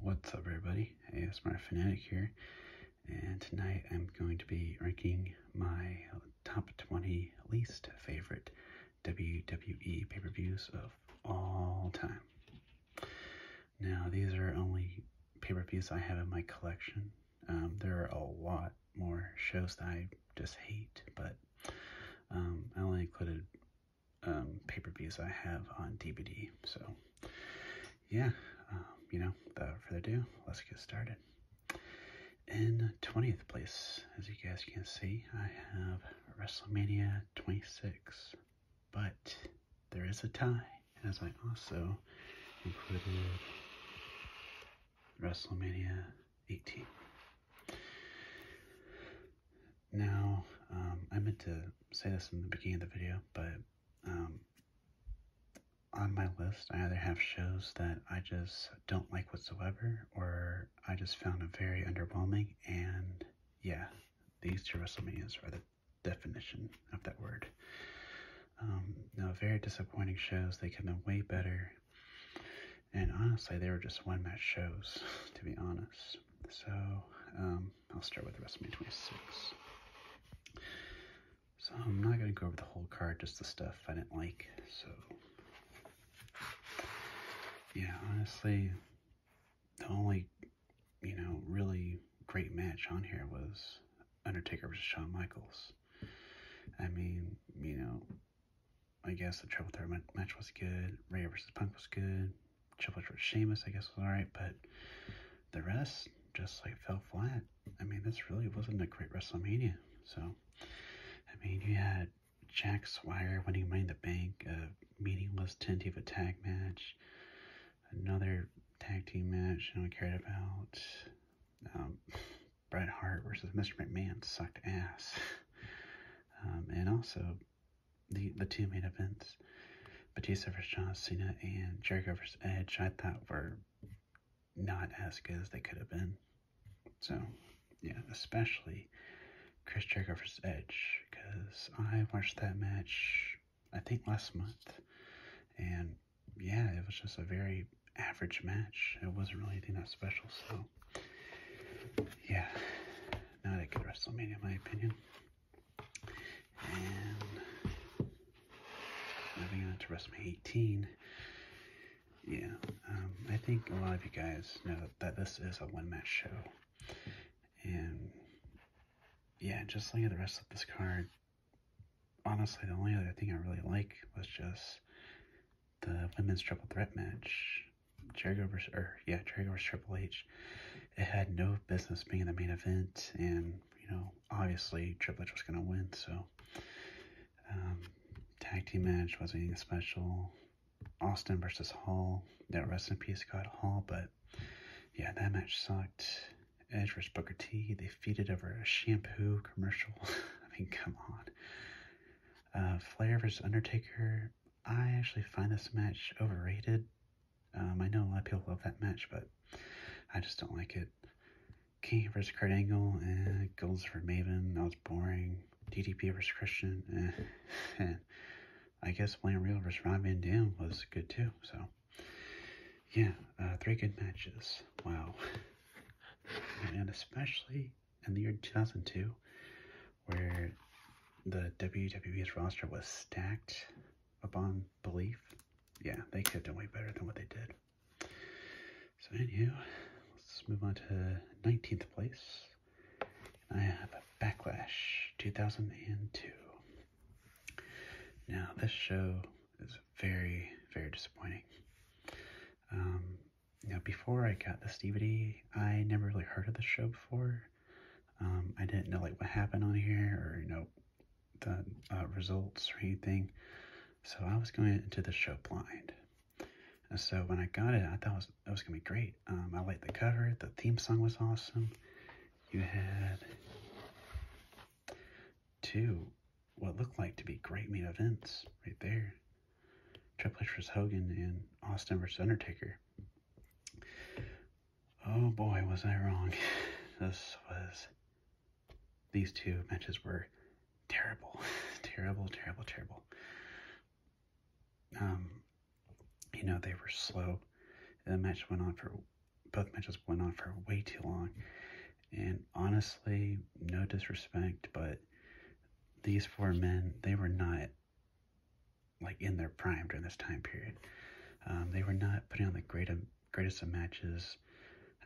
What's up everybody, ASMR Fanatic here, and tonight I'm going to be ranking my top 20 least favorite WWE pay-per-views of all time. Now these are only pay-per-views I have in my collection. Um, there are a lot more shows that I just hate, but um, I only included um, pay-per-views I have on DVD. So, yeah, um, you know, without further ado, let's get started. In 20th place, as you guys can see, I have WrestleMania 26, but there is a tie, as I also included WrestleMania 18. Now, um, I meant to say this in the beginning of the video, but um, on my list, I either have shows that I just don't like whatsoever, or I just found them very underwhelming. And yeah, these two WrestleManias are the definition of that word. Um, now, very disappointing shows. They could have been way better. And honestly, they were just one match shows, to be honest. So, um, I'll start with the rest of my 26. So I'm not going to go over the whole card, just the stuff I didn't like. So, yeah, honestly, the only, you know, really great match on here was Undertaker versus Shawn Michaels. I mean, you know, I guess the Triple Threat match was good. Ray versus Punk was good. Triple Threat with Sheamus, I guess, was alright, but the rest just like fell flat. I mean, this really wasn't a great WrestleMania. So, I mean, you had Jack Swire winning Money in the Bank, a meaningless 10 of tag match, another tag team match no one cared about. Um, Bret Hart versus Mr. McMahon sucked ass. Um, and also, the, the two main events, Batista vs. John Cena and Jericho vs. Edge, I thought were not as good as they could have been. So, yeah, especially Chris Jericho vs. Edge, because I watched that match, I think, last month, and yeah, it was just a very average match. It wasn't really anything that special, so yeah, not a good WrestleMania, in my opinion. And moving on to WrestleMania 18. Yeah, um, I think a lot of you guys know that this is a one match show. And yeah, just looking at the rest of this card, honestly, the only other thing I really like was just the women's triple threat match. Jericho versus, or yeah, Jericho versus Triple H. It had no business being the main event, and you know, obviously Triple H was gonna win. So, um, tag team match wasn't anything special. Austin versus Hall. That rest in peace, God Hall. But yeah, that match sucked. Edge versus Booker T. They feeded over a shampoo commercial. I mean, come on. Uh, Flair versus Undertaker. I actually find this match overrated. Um, I know a lot of people love that match, but I just don't like it. Kane versus Kurt Angle, and eh, Goals for Maven, that was boring. DDP versus Christian, eh, and I guess William Regal versus Ron Van Dam was good too. So, yeah, uh, three good matches. Wow. and especially in the year 2002, where the WWE's roster was stacked upon belief. Yeah, they could have done way better than what they did. So anyhow, let's move on to 19th place. And I have a Backlash 2002. Now, this show is very, very disappointing. Um, now, before I got this DVD, I never really heard of the show before. Um, I didn't know like what happened on here or you know the uh, results or anything. So I was going into the show blind. so when I got it, I thought it was, it was gonna be great. Um, I liked the cover. The theme song was awesome. You had two what looked like to be great main events right there. Triple H versus Hogan and Austin versus Undertaker. Oh boy, was I wrong. This was, these two matches were terrible, terrible, terrible, terrible. Um, you know, they were slow. The match went on for, both matches went on for way too long. And honestly, no disrespect, but these four men, they were not like in their prime during this time period. Um, they were not putting on the greatest um, greatest of matches.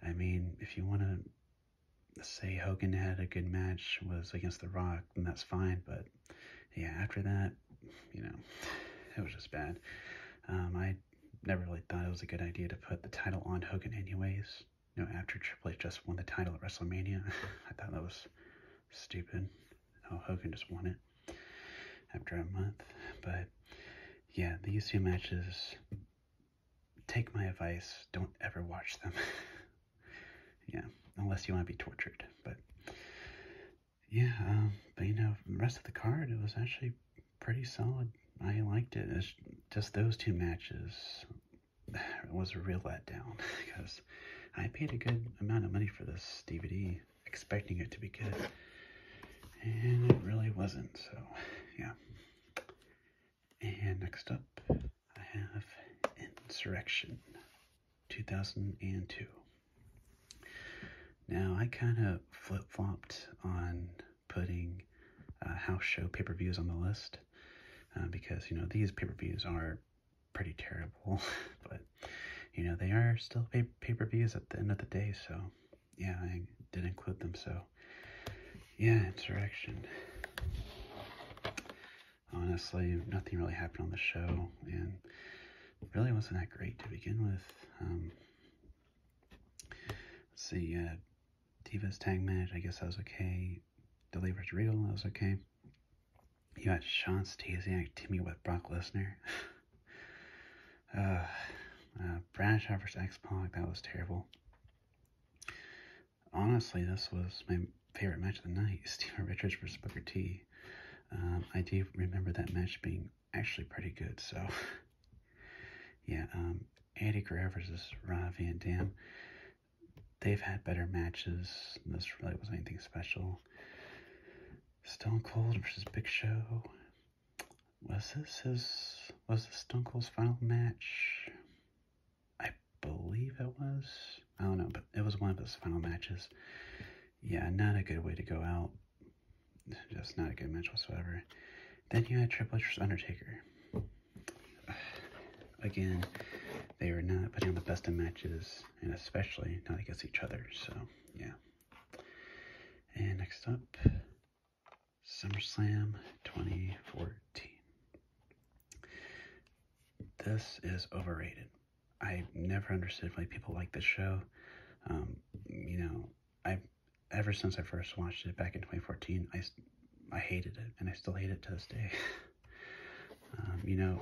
I mean, if you want to say Hogan had a good match was against The Rock, then that's fine. But yeah, after that, you know, it was just bad. Um, I never really thought it was a good idea to put the title on Hogan anyways. no, after Triple H just won the title at WrestleMania, I thought that was stupid how oh, Hogan just won it after a month. But yeah, these two matches, take my advice, don't ever watch them. yeah, unless you want to be tortured. But yeah, um, but you know, rest of the card, it was actually pretty solid. I liked it. just those two matches was a real letdown because I paid a good amount of money for this DVD expecting it to be good. And it really wasn't, so yeah. And next up, I have Insurrection 2002. Now, I kind of flip-flopped on putting uh, house show paper views on the list uh, because, you know, these paper views are pretty terrible, but you know, they are still pay pay-per-views at the end of the day, so yeah, I did include them, so yeah, Insurrection. Honestly, nothing really happened on the show, and really wasn't that great to begin with. Um, let's see, uh, Divas tag match, I guess that was okay. Deliverance Regal, that was okay. You had Sean Stasiak, Timmy with Brock Lesnar. uh, uh, Bradshaw X Pac, that was terrible. Honestly, this was my favorite match of the night Steven Richards versus Booker T. Um, I do remember that match being actually pretty good, so. yeah, um, Andy Guerrero versus Rob Van Dam. They've had better matches. This really wasn't anything special. Stone Cold versus Big Show. Was this his? Was this Stone Cold's final match? I believe it was. I don't know, but it was one of his final matches. Yeah, not a good way to go out. Just not a good match whatsoever. Then you had Triple H Undertaker. Again, they were not putting on the best of matches, and especially not against each other. So, yeah. And next up, SummerSlam 2014. This is overrated. I never understood why people like this show. Um, you know, I ever since I first watched it back in 2014, I, I hated it, and I still hate it to this day. Um, you know,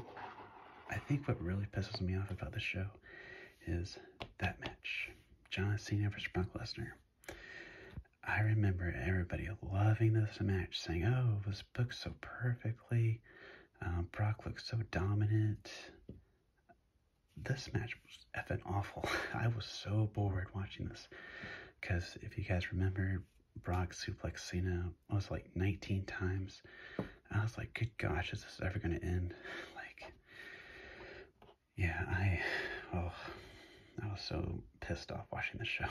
I think what really pisses me off about this show is that match John Cena versus Brock Lesnar. I remember everybody loving this match, saying, Oh, it was booked so perfectly. Um, Brock looked so dominant. This match was effing awful. I was so bored watching this. Because if you guys remember, Brock suplex Cena was like 19 times. I was like, good gosh, is this ever going to end? Like, yeah, I, oh, I was so pissed off watching the show.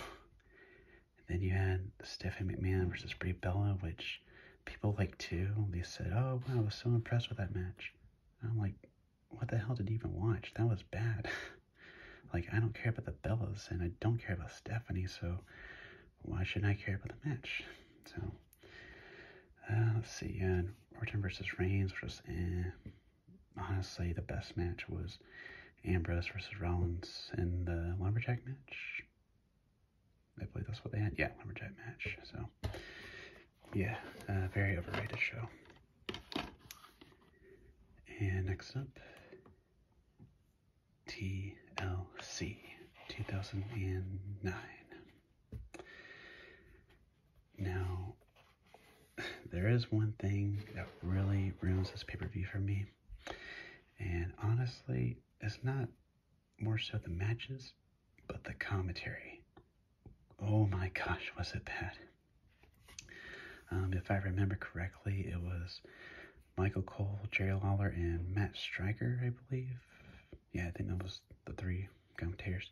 then you had Stephanie McMahon versus Brie Bella, which people like too. They said, oh, wow, I was so impressed with that match. I'm like, what the hell did you even watch? That was bad. like, I don't care about the Bellas and I don't care about Stephanie, so why should I care about the match? So uh, let's see, uh, Orton versus Reigns versus. Eh. Honestly, the best match was Ambrose versus Rollins in the Lumberjack match. I believe that's what they had. Yeah, Lumberjack match. So, yeah, uh, very overrated show. And next up, TLC 2009. Now, there is one thing that really ruins this pay-per-view for me. And honestly, it's not more so the matches, but the commentary. Oh my gosh, was it bad. Um, if I remember correctly, it was Michael Cole, Jerry Lawler, and Matt Striker, I believe yeah, I think that was the three commentators.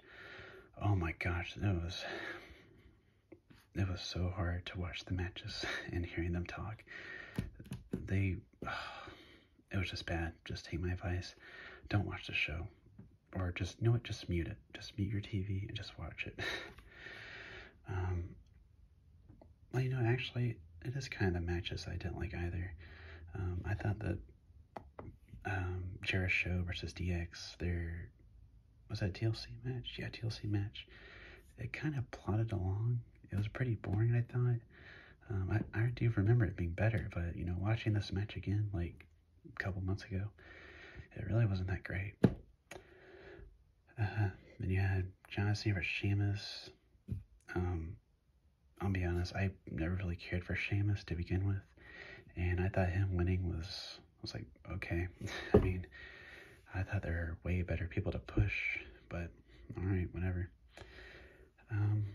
Oh my gosh, that was it was so hard to watch the matches and hearing them talk. They, it was just bad. Just take my advice. Don't watch the show. Or just, know it. just mute it. Just mute your TV and just watch it. um, well, you know, actually, it is kind of the matches I didn't like either. Um, I thought that um, Show versus DX, There was that TLC match? Yeah, TLC match. It kind of plodded along. It was pretty boring, I thought. Um, I, I do remember it being better, but, you know, watching this match again, like, a couple months ago, it really wasn't that great. Uh-huh. Then you had John Cena versus Um, I'll be honest, I never really cared for Sheamus to begin with, and I thought him winning was i was like okay. I mean, I thought there were way better people to push, but all right, whatever. Um,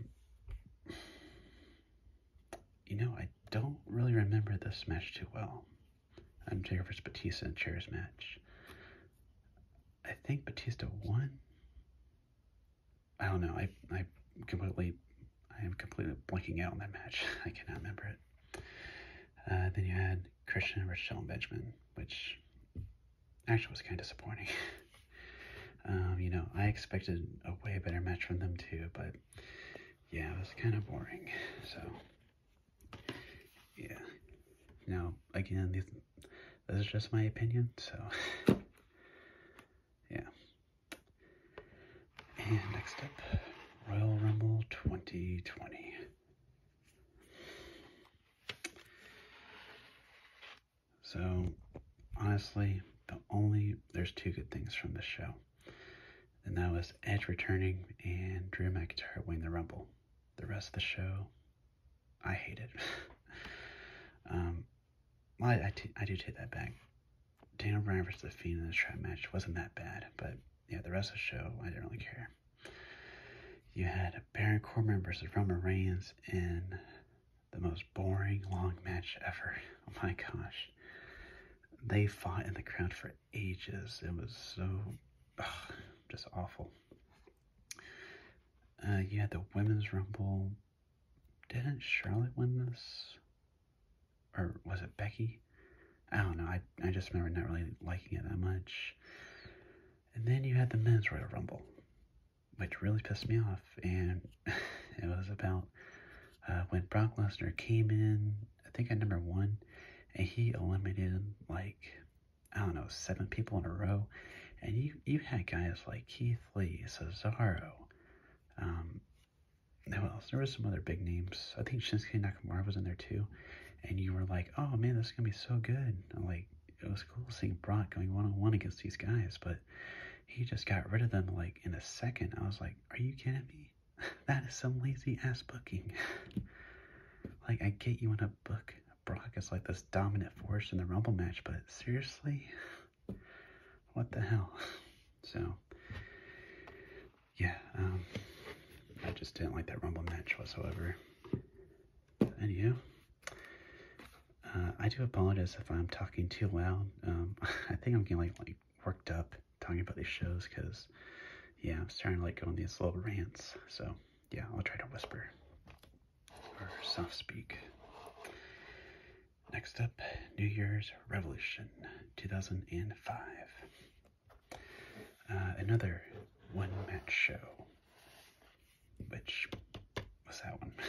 you know, I don't really remember this match too well. I'm Undertaker versus Batista and chairs match. I think Batista won. I don't know. I I completely I am completely blanking out on that match. I cannot remember it. Uh, then you had Christian versus and Benjamin, which actually was kind of disappointing. Um, you know, I expected a way better match from them too, but yeah, it was kind of boring. So yeah. Now again, these, this is just my opinion, so yeah. And next up, Royal Rumble 2020. So, honestly, the only, there's two good things from the show. And that was Edge returning and Drew McIntyre winning the Rumble. The rest of the show, I hated. um, I, I, do take that back. Daniel Bryan versus The Fiend in this trap match wasn't that bad, but yeah, the rest of the show, I didn't really care. You had Baron Corbin versus Roman Reigns in the most boring long match ever. Oh my gosh. They fought in the crowd for ages. It was so just awful. Yeah, uh, the Women's Rumble didn't Charlotte win this? Or was it Becky? I don't know. I, I just remember not really liking it that much. And then you had the men's Royal Rumble, which really pissed me off. And it was about uh, when Brock Lesnar came in, I think at number one, and he eliminated like, I don't know, seven people in a row. And you, you had guys like Keith Lee, Cesaro, um, now else? There was some other big names. I think Shinsuke Nakamura was in there too. And you were like, oh man, this is going to be so good. like, it was cool seeing Brock going one on one against these guys, but he just got rid of them like in a second. I was like, are you kidding me? that is some lazy ass booking. like, I get you want to book Brock as like this dominant force in the Rumble match, but seriously? what the hell? So, yeah, um, I just didn't like that rumble match whatsoever. Anyhow, uh, I do apologize if I'm talking too loud. Um, I think I'm getting like, like worked up talking about these shows because, yeah, I'm starting to like go on these little rants. So, yeah, I'll try to whisper or soft speak. Next up, New Year's Revolution 2005. Uh, another one match show, which was that one?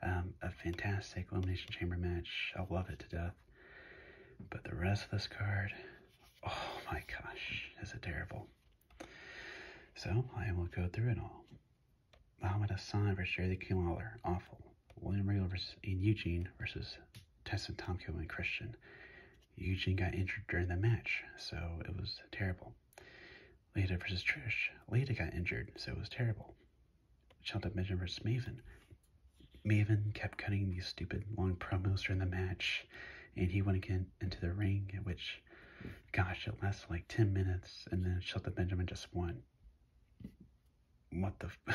Um, a fantastic Elimination Chamber match. I love it to death. But the rest of this card, oh my gosh, is it terrible. So I will go through it all. Muhammad Hassan versus Jerry the Lawler, awful. William Regal versus Eugene versus Tyson Tomko and Christian. Eugene got injured during the match, so it was terrible. Lita versus Trish. Lita got injured, so it was terrible. Shelton Benjamin versus Maven. Maven kept cutting these stupid long promos during the match, and he went again into the ring, which, gosh, it lasted like 10 minutes, and then Shelton Benjamin just won what the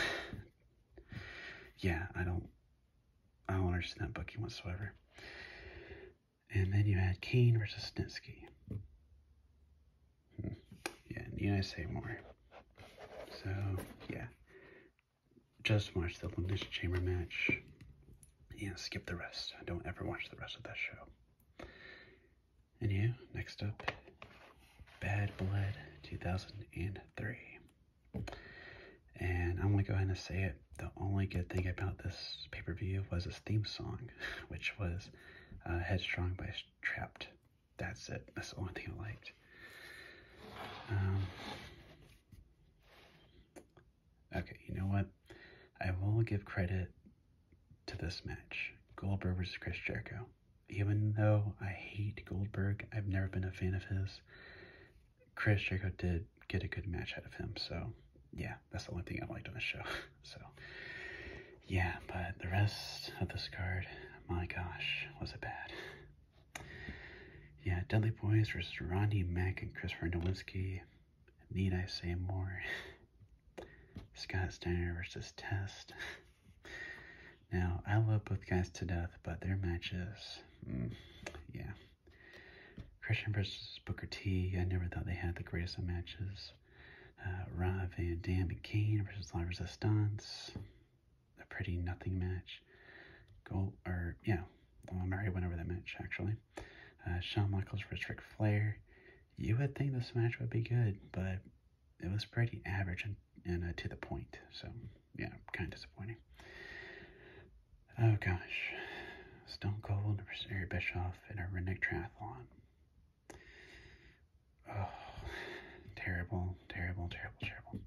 yeah i don't i don't understand that booking whatsoever and then you had kane versus snitsky hmm. yeah and need i say more so yeah just watch the elimination chamber match Yeah, skip the rest i don't ever watch the rest of that show and yeah, next up, Bad Blood 2003. And I'm gonna go ahead and say it. The only good thing about this pay per view was its theme song, which was uh, Headstrong by Trapped. That's it. That's the only thing I liked. Um, okay, you know what? I will give credit to this match Goldberg versus Chris Jericho even though I hate Goldberg, I've never been a fan of his. Chris Jericho did get a good match out of him, so yeah, that's the only thing I liked on the show. so yeah, but the rest of this card, my gosh, was it bad. Yeah, Dudley Boyz versus Ronnie Mack and Chris Nowinski. Need I say more? Scott Steiner versus Test. now, I love both guys to death, but their matches, mm, yeah. Christian versus Booker T. I never thought they had the greatest of matches. Uh, Van Dam and Kane versus La Resistance. A pretty nothing match. Gold, or, yeah, i well, Murray went over that match, actually. Uh, Shawn Michaels versus Ric Flair. You would think this match would be good, but it was pretty average and, and uh, to the point. So, yeah, kind of disappointing. Oh gosh, Stone Cold versus Eric Bischoff in a redneck triathlon. Oh, terrible, terrible, terrible, terrible.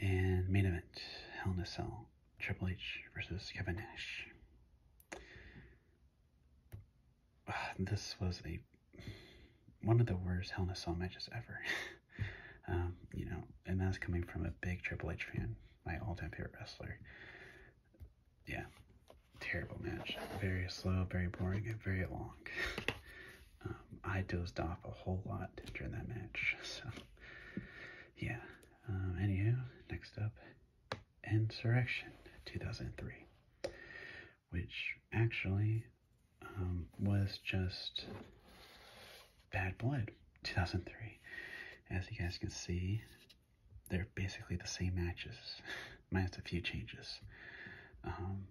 And main event, Hell in a Cell, Triple H versus Kevin Nash. this was a one of the worst Hell in a Cell matches ever. Um, you know, and that's coming from a big Triple H fan, my all-time favorite wrestler. Yeah, terrible match. Very slow, very boring, and very long. Um, I dozed off a whole lot during that match, so yeah. Um, anywho, next up, Insurrection 2003 which actually um, was just Bad Blood 2003. As you guys can see, they're basically the same matches, minus a few changes. Um,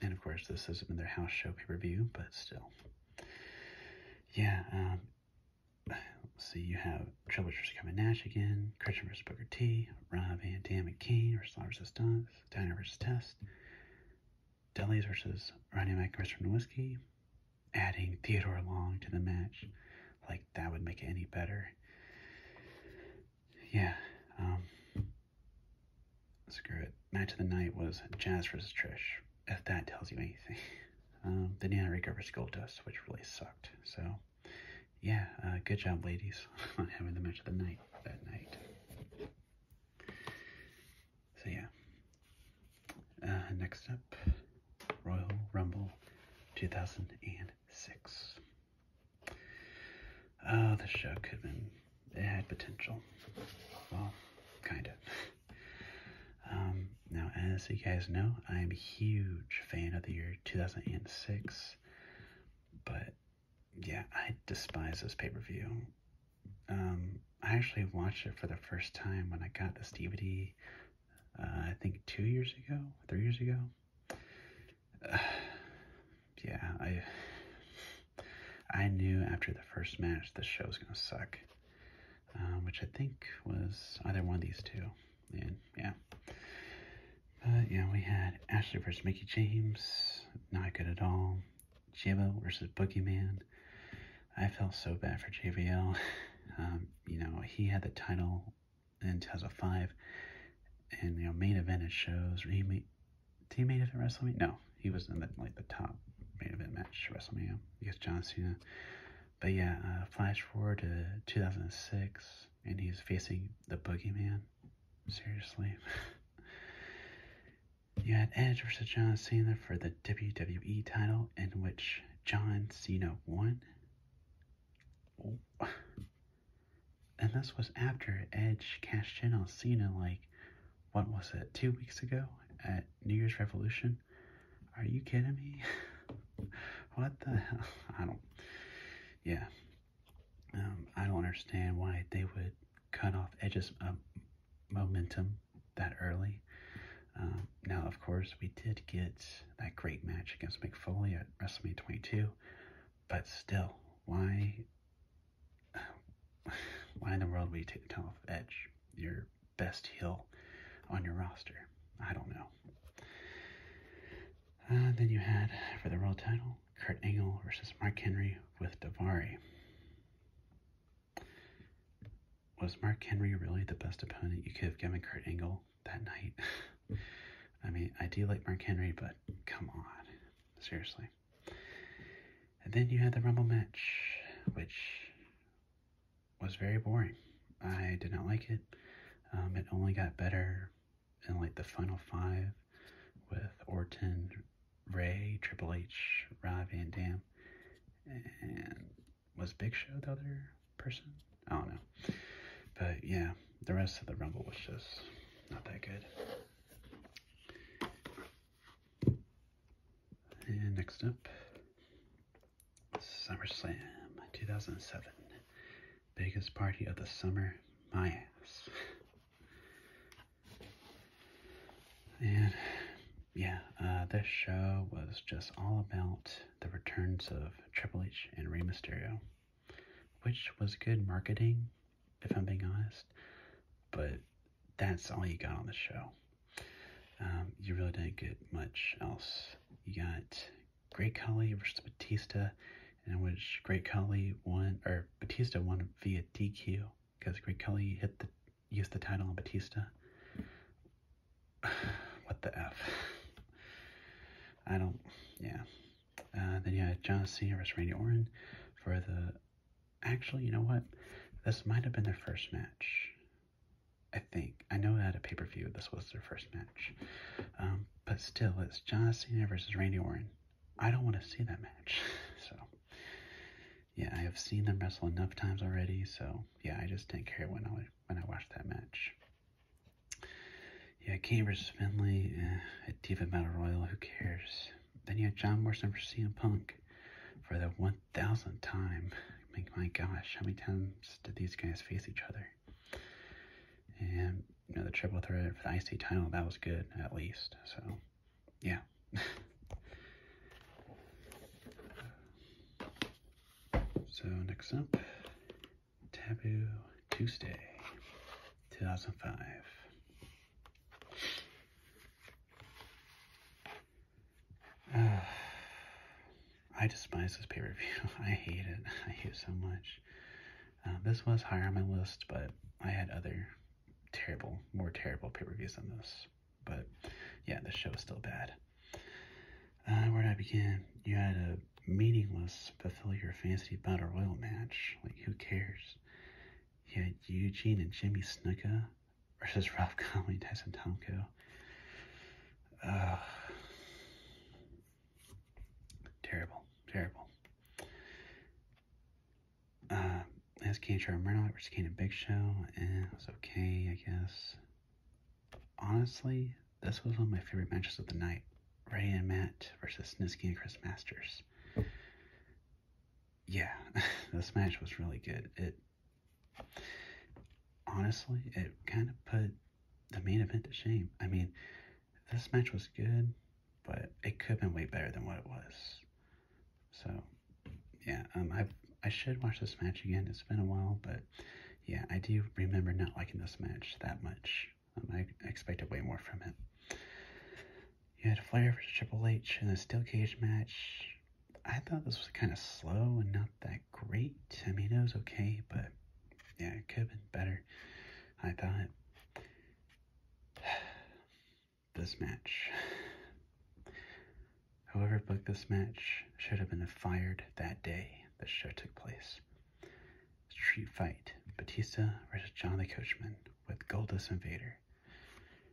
and of course, this is been their house show pay-per-view, but still. Yeah, um, So you have Triple H coming Nash again, Christian versus Booker T, Rob and Dan McKay or Law versus Dunk, Diner versus Test, Deli's vs. Ronnie Mac from Whiskey. Adding Theodore Long to the match, like that would make it any better. Yeah, um, screw it. Match of the night was Jazz vs. Trish, if that tells you anything. Um, the Nana Rico versus Goldust, which really sucked, so yeah, uh, good job, ladies, on having the match of the night that night. So yeah. Uh, next up, Royal Rumble 2006. Oh, the show could have been, it had potential. Well, kind of. Um, now, as you guys know, I'm a huge fan of the year 2006, but yeah, I despise this pay per view. Um, I actually watched it for the first time when I got this DVD, uh, I think two years ago, three years ago. yeah, I I knew after the first match the show was gonna suck, um, which I think was either one of these two, and yeah, but yeah, we had Ashley versus Mickey James, not good at all. JBL versus Boogeyman. I felt so bad for JBL. Um, you know, he had the title in Five, and, you know, main event at shows. Or he made, did he main event WrestleMania? No, he was in the, like the top main event match at WrestleMania against John Cena. But yeah, uh, flash forward to 2006 and he's facing the Boogeyman. Seriously. you had Edge versus John Cena for the WWE title, in which John Cena won. Oh. And this was after Edge cashed in on Cena, like, what was it, two weeks ago at New Year's Revolution? Are you kidding me? what the hell? I don't. Yeah, um, I don't understand why they would cut off Edge's um, momentum that early. Um, now, of course, we did get that great match against McFoley at WrestleMania 22, but still, why, why in the world would you take the title off Edge, your best heel on your roster? I don't know. Uh, then you had, for the world title, Kurt Angle versus Mark Henry with Davari. Was Mark Henry really the best opponent you could have given Kurt Angle that night? I mean, I do like Mark Henry, but come on. Seriously. And then you had the Rumble match, which was very boring. I did not like it. Um, it only got better and like the final five with Orton, Ray, Triple H, Rob Van Dam, and was Big Show the other person? I don't know. But yeah, the rest of the Rumble was just not that good. And next up, SummerSlam 2007. Biggest party of the summer, my ass. And yeah, uh, this show was just all about the returns of Triple H and Rey Mysterio, which was good marketing, if I'm being honest, but that's all you got on the show. Um, you really didn't get much else. You got Great Khali versus Batista in which Great Khali won, or Batista won via DQ because Great Khali hit the used the title on Batista. what the f? I don't. Yeah. Uh, then you had John Cena versus Randy Orton for the. Actually, you know what? This might have been their first match. I think. I know at a pay per view this was their first match. Um, but still, it's John Cena versus Randy Orton. I don't want to see that match. so, yeah, I have seen them wrestle enough times already. So, yeah, I just didn't care when I when I watched that match. Yeah, Kane Finley, eh, a Diva Who cares? Then you have John Morrison versus CM Punk for the one thousandth time. I my gosh, how many times did these guys face each other? And you know, the triple threat for the IC title, that was good, at least. So, yeah. so, next up, Taboo Tuesday, 2005. I despise this pay-per-view. I hate it. I hate it so much. Um, this was higher on my list, but I had other terrible, more terrible pay-per-views than this. But yeah, the show is still bad. Uh, where do I begin? You had a meaningless but fill your fancy battle royal match. Like who cares? You had Eugene and Jimmy Snuka versus Ralph Conway and Tyson Tomko. Terrible, terrible. Uh, as Kane Trevor Murdoch versus Kane and Big Show, and eh, it was okay, I guess. Honestly, this was one of my favorite matches of the night. Ray and Matt versus Snitsky and Chris Masters. Yeah, this match was really good. It honestly, it kind of put the main event to shame. I mean, this match was good, but it could have been way better than what it was. So, yeah, um, I I should watch this match again. It's been a while, but yeah, I do remember not liking this match that much. Um, I expected way more from it. You had Flair versus Triple H in a steel cage match. I thought this was kind of slow and not that great. I mean, it was okay, but yeah, it could have been better, I thought. this match. Whoever booked this match should have been fired that day the show took place. Street Fight Batista versus John the Coachman with Goldust Invader.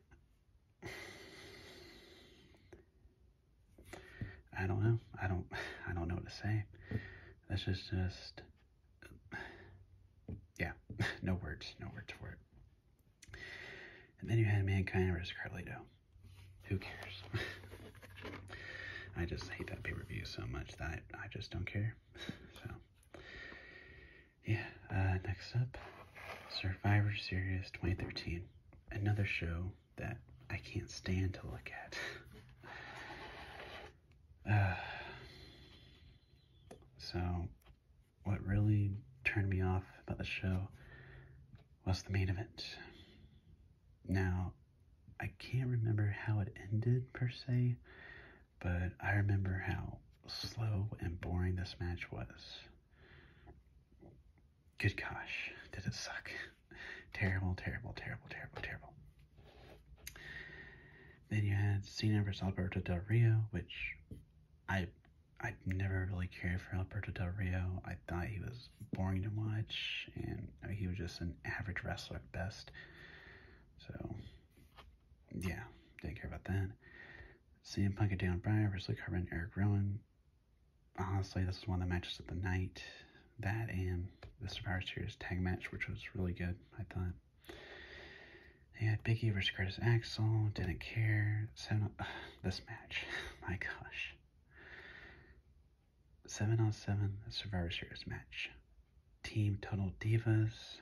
I don't know. I don't I don't know what to say. This is just yeah, no words, no words for it. And then you had Mankind versus Carlito. Who cares? I just hate that pay-per-view so much that I, just don't care. so, yeah, uh, next up, Survivor Series 2013. Another show that I can't stand to look at. Uh, so, what really turned me off about the show was the main event. Now, I can't remember how it ended per se, but I remember how slow and boring this match was. Good gosh, did it suck? terrible, terrible, terrible, terrible, terrible. Then you had Cena versus Alberto Del Rio, which I I never really cared for Alberto Del Rio. I thought he was boring to watch, and he was just an average wrestler at best. So, yeah, didn't care about that. CM Punk and Dan Bryan versus Luke Harper Eric Rowan. Honestly, this was one of the matches of the night. That and the Survivor Series tag match, which was really good, I thought. They had Big E versus Curtis Axel, didn't care. Seven, this match, my gosh. Seven on seven Survivor Series match. Team Total Divas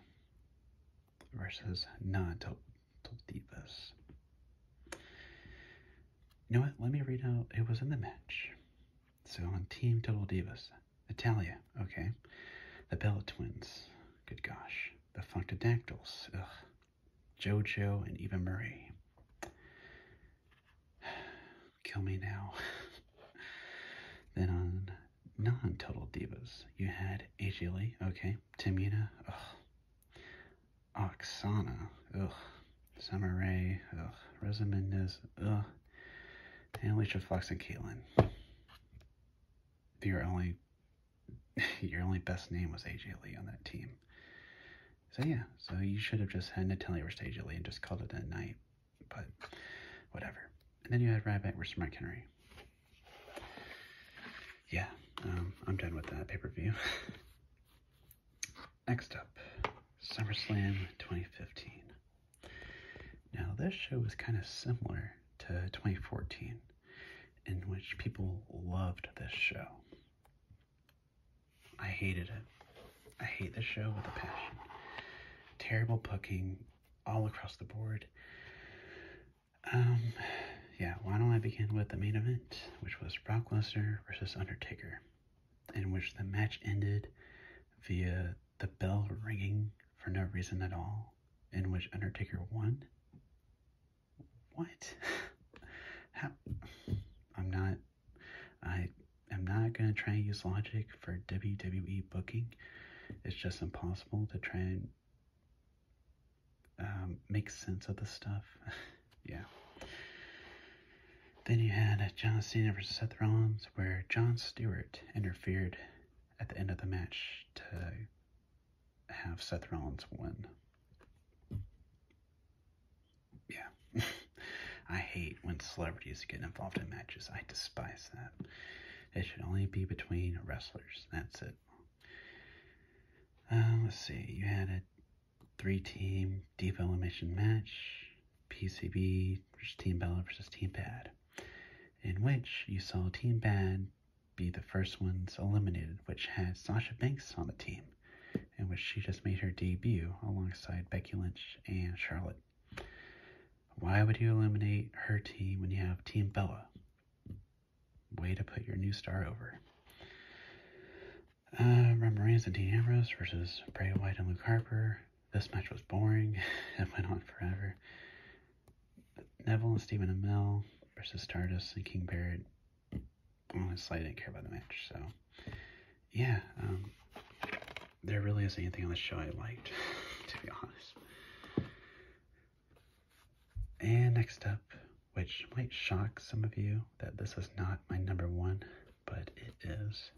versus non-Total Divas. You know what? Let me read out. It was in the match. So on Team Total Divas, Italia, okay. The Bella Twins, good gosh. The Functodactyls, ugh. JoJo and Eva Marie. Kill me now. then on non-total divas, you had AJ Lee, okay. Tamina, ugh. Oksana, ugh. Summer Rae, ugh. Rosa ugh. And Alicia Fox and Caitlyn your only your only best name was AJ Lee on that team. So yeah, so you should have just had Natalia versus AJ Lee and just called it a night. But whatever. And then you had Ryback versus Mike Henry. Yeah, um, I'm done with that pay-per-view. Next up, SummerSlam 2015. Now, this show was kind of similar to 2014, in which people loved this show. I hated it. I hate this show with a passion. Terrible booking all across the board. Um, yeah, why don't I begin with the main event, which was Brock Lesnar versus Undertaker, in which the match ended via the bell ringing for no reason at all in which Undertaker won. What? I'm not. I am not gonna try and use logic for WWE booking. It's just impossible to try and um, make sense of the stuff. yeah. Then you had John Cena versus Seth Rollins, where John Stewart interfered at the end of the match to have Seth Rollins win. Yeah. I hate when celebrities get involved in matches. I despise that. It should only be between wrestlers. That's it. Uh, let's see. You had a three-team deep elimination match. PCB versus Team Bella versus Team Bad in which you saw Team Bad be the first ones eliminated, which had Sasha Banks on the team, in which she just made her debut alongside Becky Lynch and Charlotte. Why would you eliminate her team when you have Team Bella? Way to put your new star over. Uh, Roman Reigns and Dean Ambrose versus Bray Wyatt and Luke Harper. This match was boring. it went on forever. Neville and Stephen Amell versus Tardis and King Barrett. Honestly, I didn't care about the match. So, yeah, um, there really isn't anything on the show I liked, to be honest. And next up, which might shock some of you that this is not my number one, but it is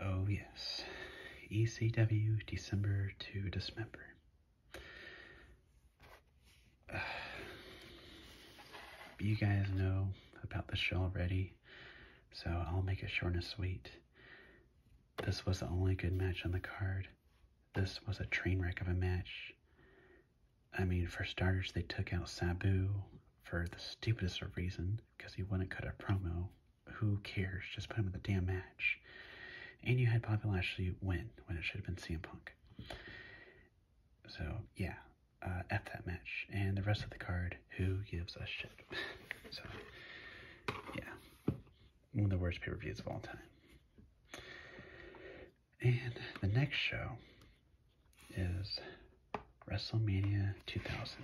Oh, yes. ECW December to December. you guys know about the show already, so I'll make it short and sweet. This was the only good match on the card. This was a train wreck of a match. I mean, for starters, they took out Sabu for the stupidest of reasons because he wouldn't cut a promo who cares? Just put him in the damn match. And you had Bobby Lashley win when it should have been CM Punk. So, yeah, at uh, that match. And the rest of the card, who gives a shit? so, yeah, one of the worst pay per of all time. And the next show is WrestleMania 2000.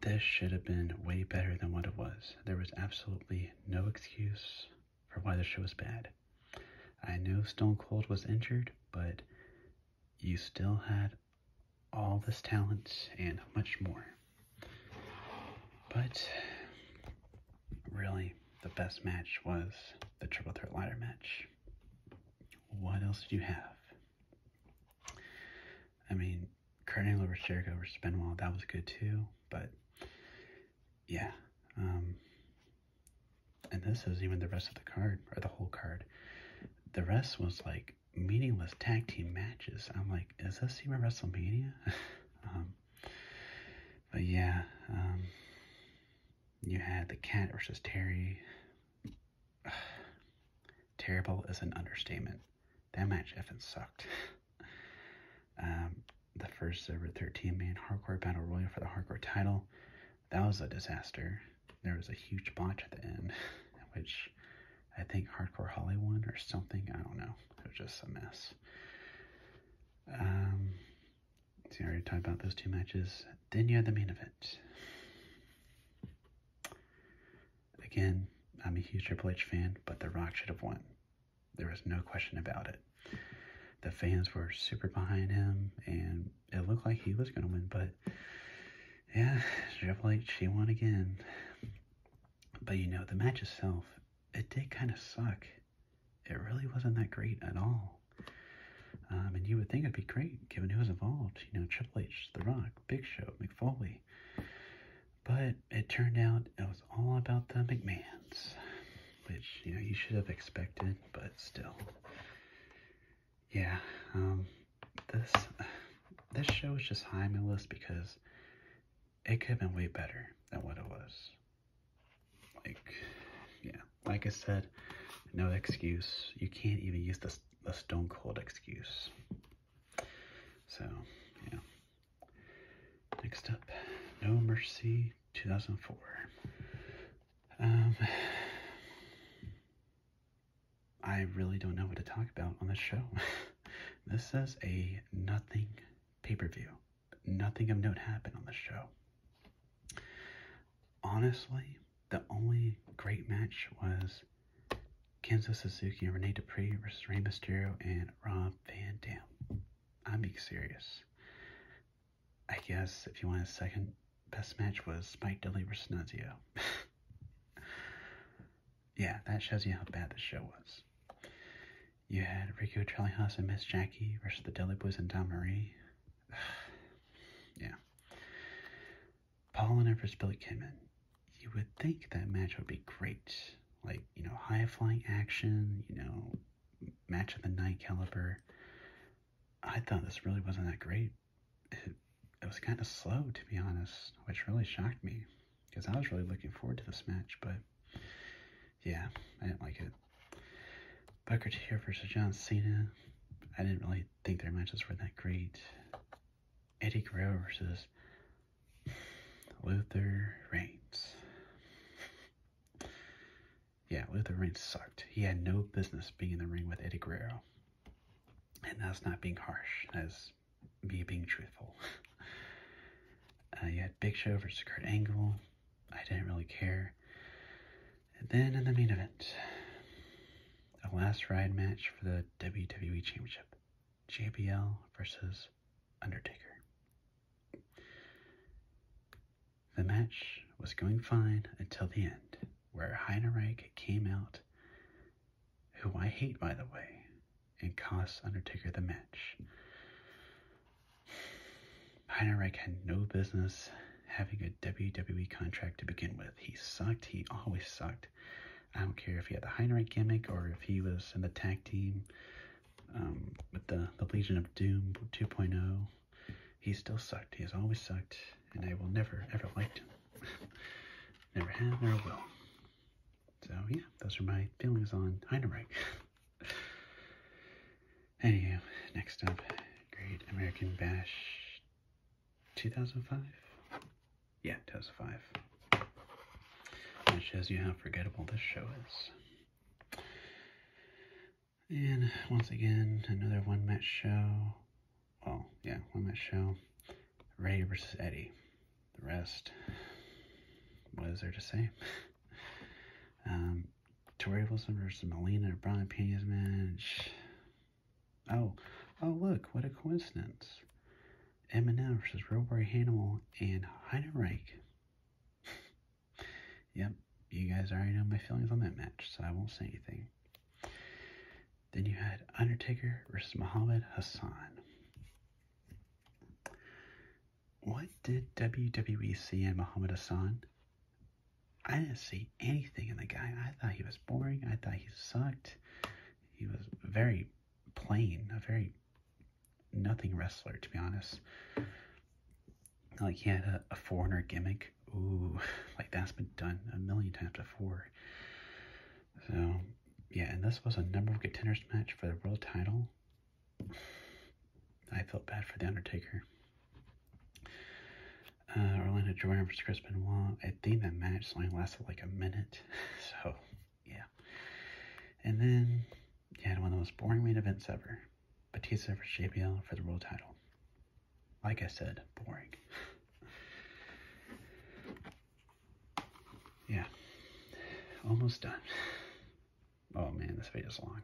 This should have been way better than what it was. There was absolutely no excuse for why the show was bad. I know Stone Cold was injured, but you still had all this talent and much more. But really, the best match was the Triple Threat Ladder match. What else did you have? I mean, Cardinal over Jericho versus Benoit, that was good too, but yeah. Um, and this is even the rest of the card, or the whole card. The rest was like meaningless tag team matches. I'm like, is this even WrestleMania? Um, but yeah, um, you had the Cat versus Terry, terrible is an understatement. That match effing sucked. Um, the first ever 13 man hardcore battle royal for the hardcore title. That was a disaster. There was a huge botch at the end, which I think Hardcore Hollywood or something. I don't know. It was just a mess. Um, see, I already talked about those two matches. Then you had the main event. Again, I'm a huge Triple H fan, but The Rock should have won. There was no question about it. The fans were super behind him, and it looked like he was going to win, but yeah, Triple H, he won again. But you know, the match itself, it did kind of suck. It really wasn't that great at all. Um, and you would think it'd be great given who was involved. You know, Triple H, The Rock, Big Show, McFoley, but it turned out it was all about the McMahons, which, you know, you should have expected, but still. Yeah, um, this, this show is just high on my list because it could have been way better than what it was. Like, yeah, like I said, no excuse. You can't even use the, the Stone Cold excuse. So, yeah. Next up, No Mercy 2004. Um, I really don't know what to talk about on this show. this is a nothing pay-per-view. Nothing of note happened on this show. Honestly, the only great match was Kenzo Suzuki and Renee Dupree versus Rey Mysterio and Rob Van Dam. I'm being serious. I guess if you want a second best match was Spike Dudley versus Nunzio. yeah, that shows you how bad the show was. You had Rico Charlie Haas and Miss Jackie versus the Dudley Boys and Tom Marie. yeah. Paul, and Everest Billy came in, you would think that match would be great. Like, you know, high flying action, you know, match of the night caliber. I thought this really wasn't that great. It, it was kind of slow, to be honest, which really shocked me because I was really looking forward to this match, but yeah, I didn't like it. Booker T versus John Cena. I didn't really think their matches were that great. Eddie Guerrero versus Luther Reigns. Yeah, Luther Reigns sucked. He had no business being in the ring with Eddie Guerrero. And that's not being harsh, that's me being truthful. uh, you had Big Show versus Kurt Angle. I didn't really care. And then in the main event, the last ride match for the WWE Championship. JBL versus Undertaker. The match was going fine until the end, where Heinereich came out, who I hate by the way, and cost Undertaker the match. Heinereich had no business having a WWE contract to begin with. He sucked, he always sucked. I don't care if he had the Heinrich gimmick or if he was in the tag team um, with the, Legion of Doom 2.0. He still sucked. He has always sucked, and I will never, ever like him. never have, never will. So, yeah, those are my feelings on Heinrich. Anyhow, next up, Great American Bash 2005? Yeah, 2005. That shows you how forgettable this show is. And once again, another one match show. Well, yeah, one match show. Ray versus Eddie. The rest, what is there to say? um, Tori Wilson versus Melina Brian Pena's match. Oh, oh look, what a coincidence. Eminem versus Robby Hannibal and Heidenreich. yep, you guys already know my feelings on that match, so I won't say anything. Then you had Undertaker versus Muhammad Hassan. What did WWE see in Muhammad Hassan? I didn't see anything in the guy. I thought he was boring. I thought he sucked. He was very plain, a very nothing wrestler, to be honest. Like he had a, a foreigner gimmick. Ooh, like that's been done a million times before. So, yeah, and this was a number of contenders match for the world title. I felt bad for The Undertaker. Uh, Orlando Jordan versus Chris Benoit. I think that match only lasted like a minute, so yeah. And then you had one of the most boring main events ever. Batista versus JBL for the world title. Like I said, boring. yeah. Almost done. Oh man, this is long.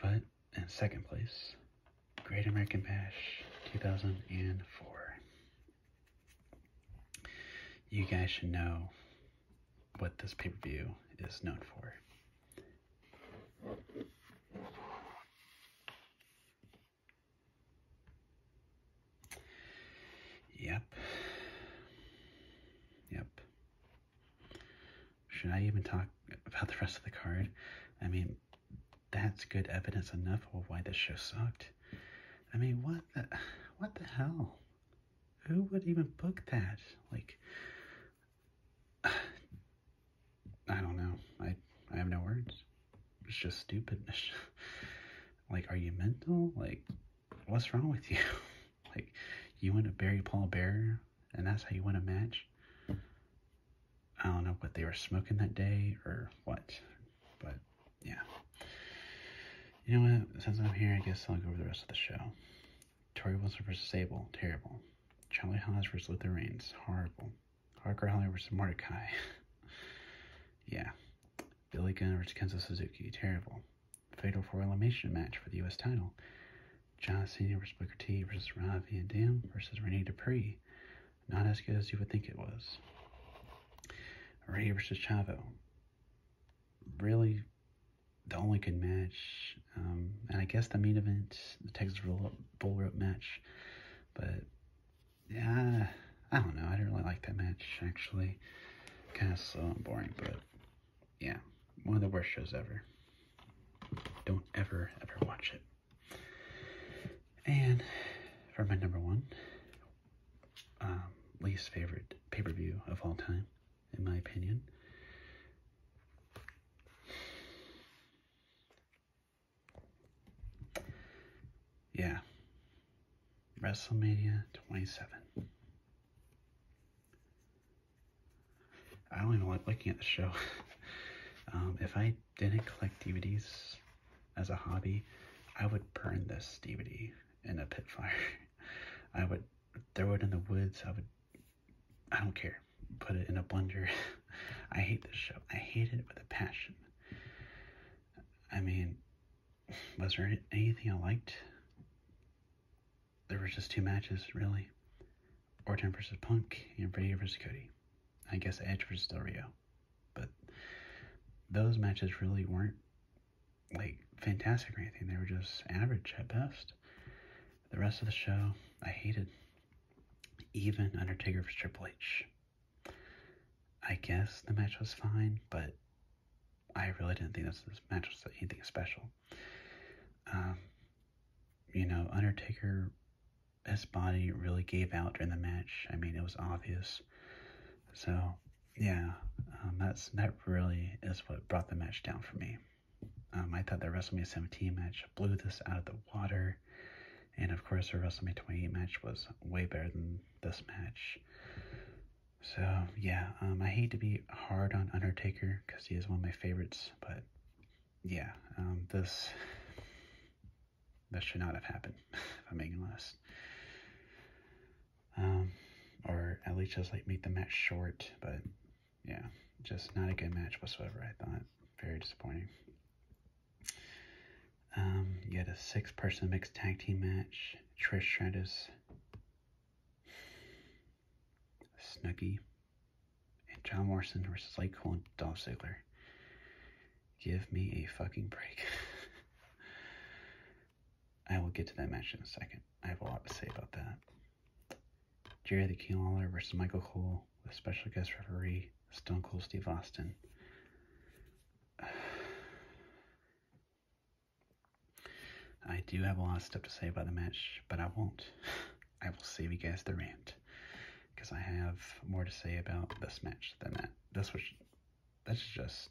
But in second place, Great American Bash 2004. You guys should know what this pay per view is known for. Yep. Yep. Should I even talk about the rest of the card? I mean, that's good evidence enough of why this show sucked. I mean, what the, what the hell? Who would even book that? Like, I don't know. I, I have no words. It's just stupidness. like, are you mental? Like, what's wrong with you? like, you want to bury Paul Bearer, and that's how you want to match? I don't know what they were smoking that day or what, but yeah. You know what? Since I'm here, I guess I'll go over the rest of the show. Tori Wilson versus Sable, terrible. Charlie Haas versus Luther Reigns, horrible. Harker Holly versus Mordecai, yeah. Billy Gunn versus Kenzo Suzuki, terrible. Fatal four elimination match for the U.S. title. John Cena versus Booker T versus Rob Van Dam versus Renee Dupree. Not as good as you would think it was. Ray versus Chavo. Really the only good match. Um, and I guess the main event, the Texas Roll Up, Bull Rope match. But, yeah, I don't know. I do not really like that match, actually. Kind of slow and boring, but, yeah. One of the worst shows ever. Don't ever, ever watch it. And for my number one, um, least favorite pay-per-view of all time, in my opinion. Yeah. WrestleMania 27. I don't even like looking at the show. Um, if I didn't collect DVDs as a hobby, I would burn this DVD in a pit fire. I would throw it in the woods. I would, I don't care. Put it in a blender. I hate this show. I hate it with a passion. I mean, was there anything I liked? There were just two matches, really. Orton versus Punk and Brady versus Cody. I guess Edge versus Del Rio. But those matches really weren't like fantastic or anything. They were just average at best. The rest of the show, I hated. Even Undertaker vs. Triple H. I guess the match was fine, but I really didn't think this, this match was anything special. Um, you know, Undertaker, his body really gave out during the match. I mean, it was obvious. So yeah, um, that's that really is what brought the match down for me. Um, I thought the WrestleMania 17 match blew this out of the water, and of course the WrestleMania 28 match was way better than this match. So yeah, um, I hate to be hard on Undertaker because he is one of my favorites, but yeah, this that should not have happened, if I'm making less, Um, or at least just like make the match short, but yeah, just not a good match whatsoever, I thought. Very disappointing. Um, you had a six person mixed tag team match. Trish Stratus, Snuggie, and John Morrison versus like one and Dolph Ziggler. Give me a fucking break. I will get to that match in a second. I have a lot to say about that. Jerry the King Lawler versus Michael Cole with special guest referee Stone Cold Steve Austin. I do have a lot of stuff to say about the match, but I won't. I will save you guys the rant because I have more to say about this match than that. This was that's just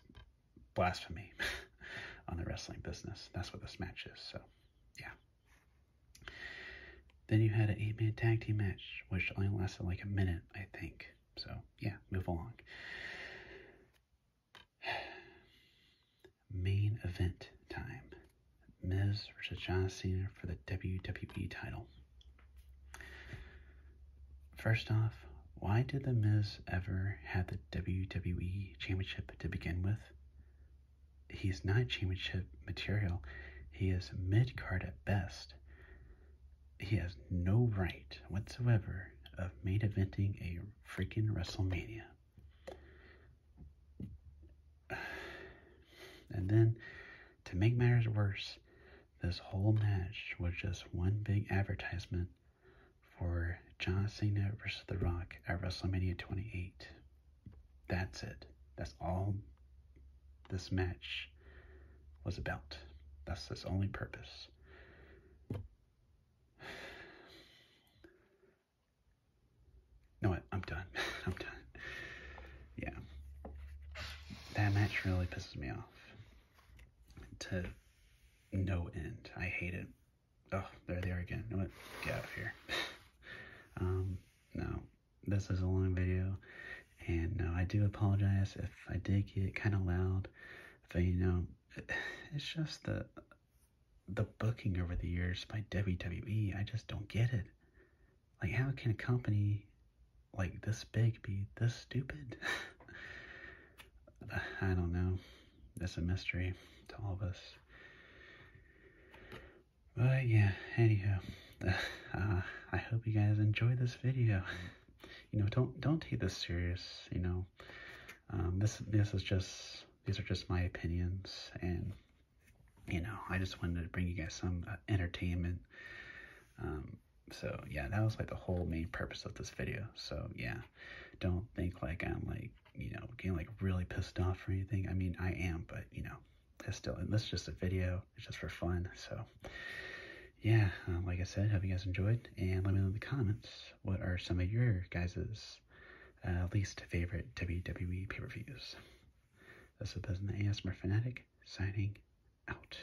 blasphemy on the wrestling business. That's what this match is. So, yeah. Then you had an eight man tag team match, which only lasted like a minute, I think. So, yeah, move along. Main event time Miz versus John Cena for the WWE title. First off, why did The Miz ever have the WWE Championship to begin with? He's not championship material, he is mid card at best. He has no right whatsoever of main eventing a freaking WrestleMania. And then, to make matters worse, this whole match was just one big advertisement for John Cena versus The Rock at WrestleMania 28. That's it. That's all this match was about. That's its only purpose. No, I'm done. I'm done. Yeah. That match really pisses me off to no end. I hate it. Oh, they're there again. You Get out of here. um, no, this is a long video, and no, uh, I do apologize if I did get kind of loud. But you know, it's just the the booking over the years by WWE. I just don't get it. Like, how can a company like this big be this stupid? I don't know. It's a mystery to all of us. But yeah, anyhow, uh, I hope you guys enjoy this video. you know, don't don't take this serious. You know, um, this this is just these are just my opinions, and you know, I just wanted to bring you guys some uh, entertainment. Um, so yeah, that was like the whole main purpose of this video. So yeah, don't think like I'm like, you know, getting like really pissed off or anything. I mean, I am, but you know, it's still, and this is just a video. It's just for fun. So yeah, um, like I said, hope you guys enjoyed. And let me know in the comments, what are some of your guys's uh, least favorite WWE pay-per-views? This has been the ASMR Fanatic, signing out.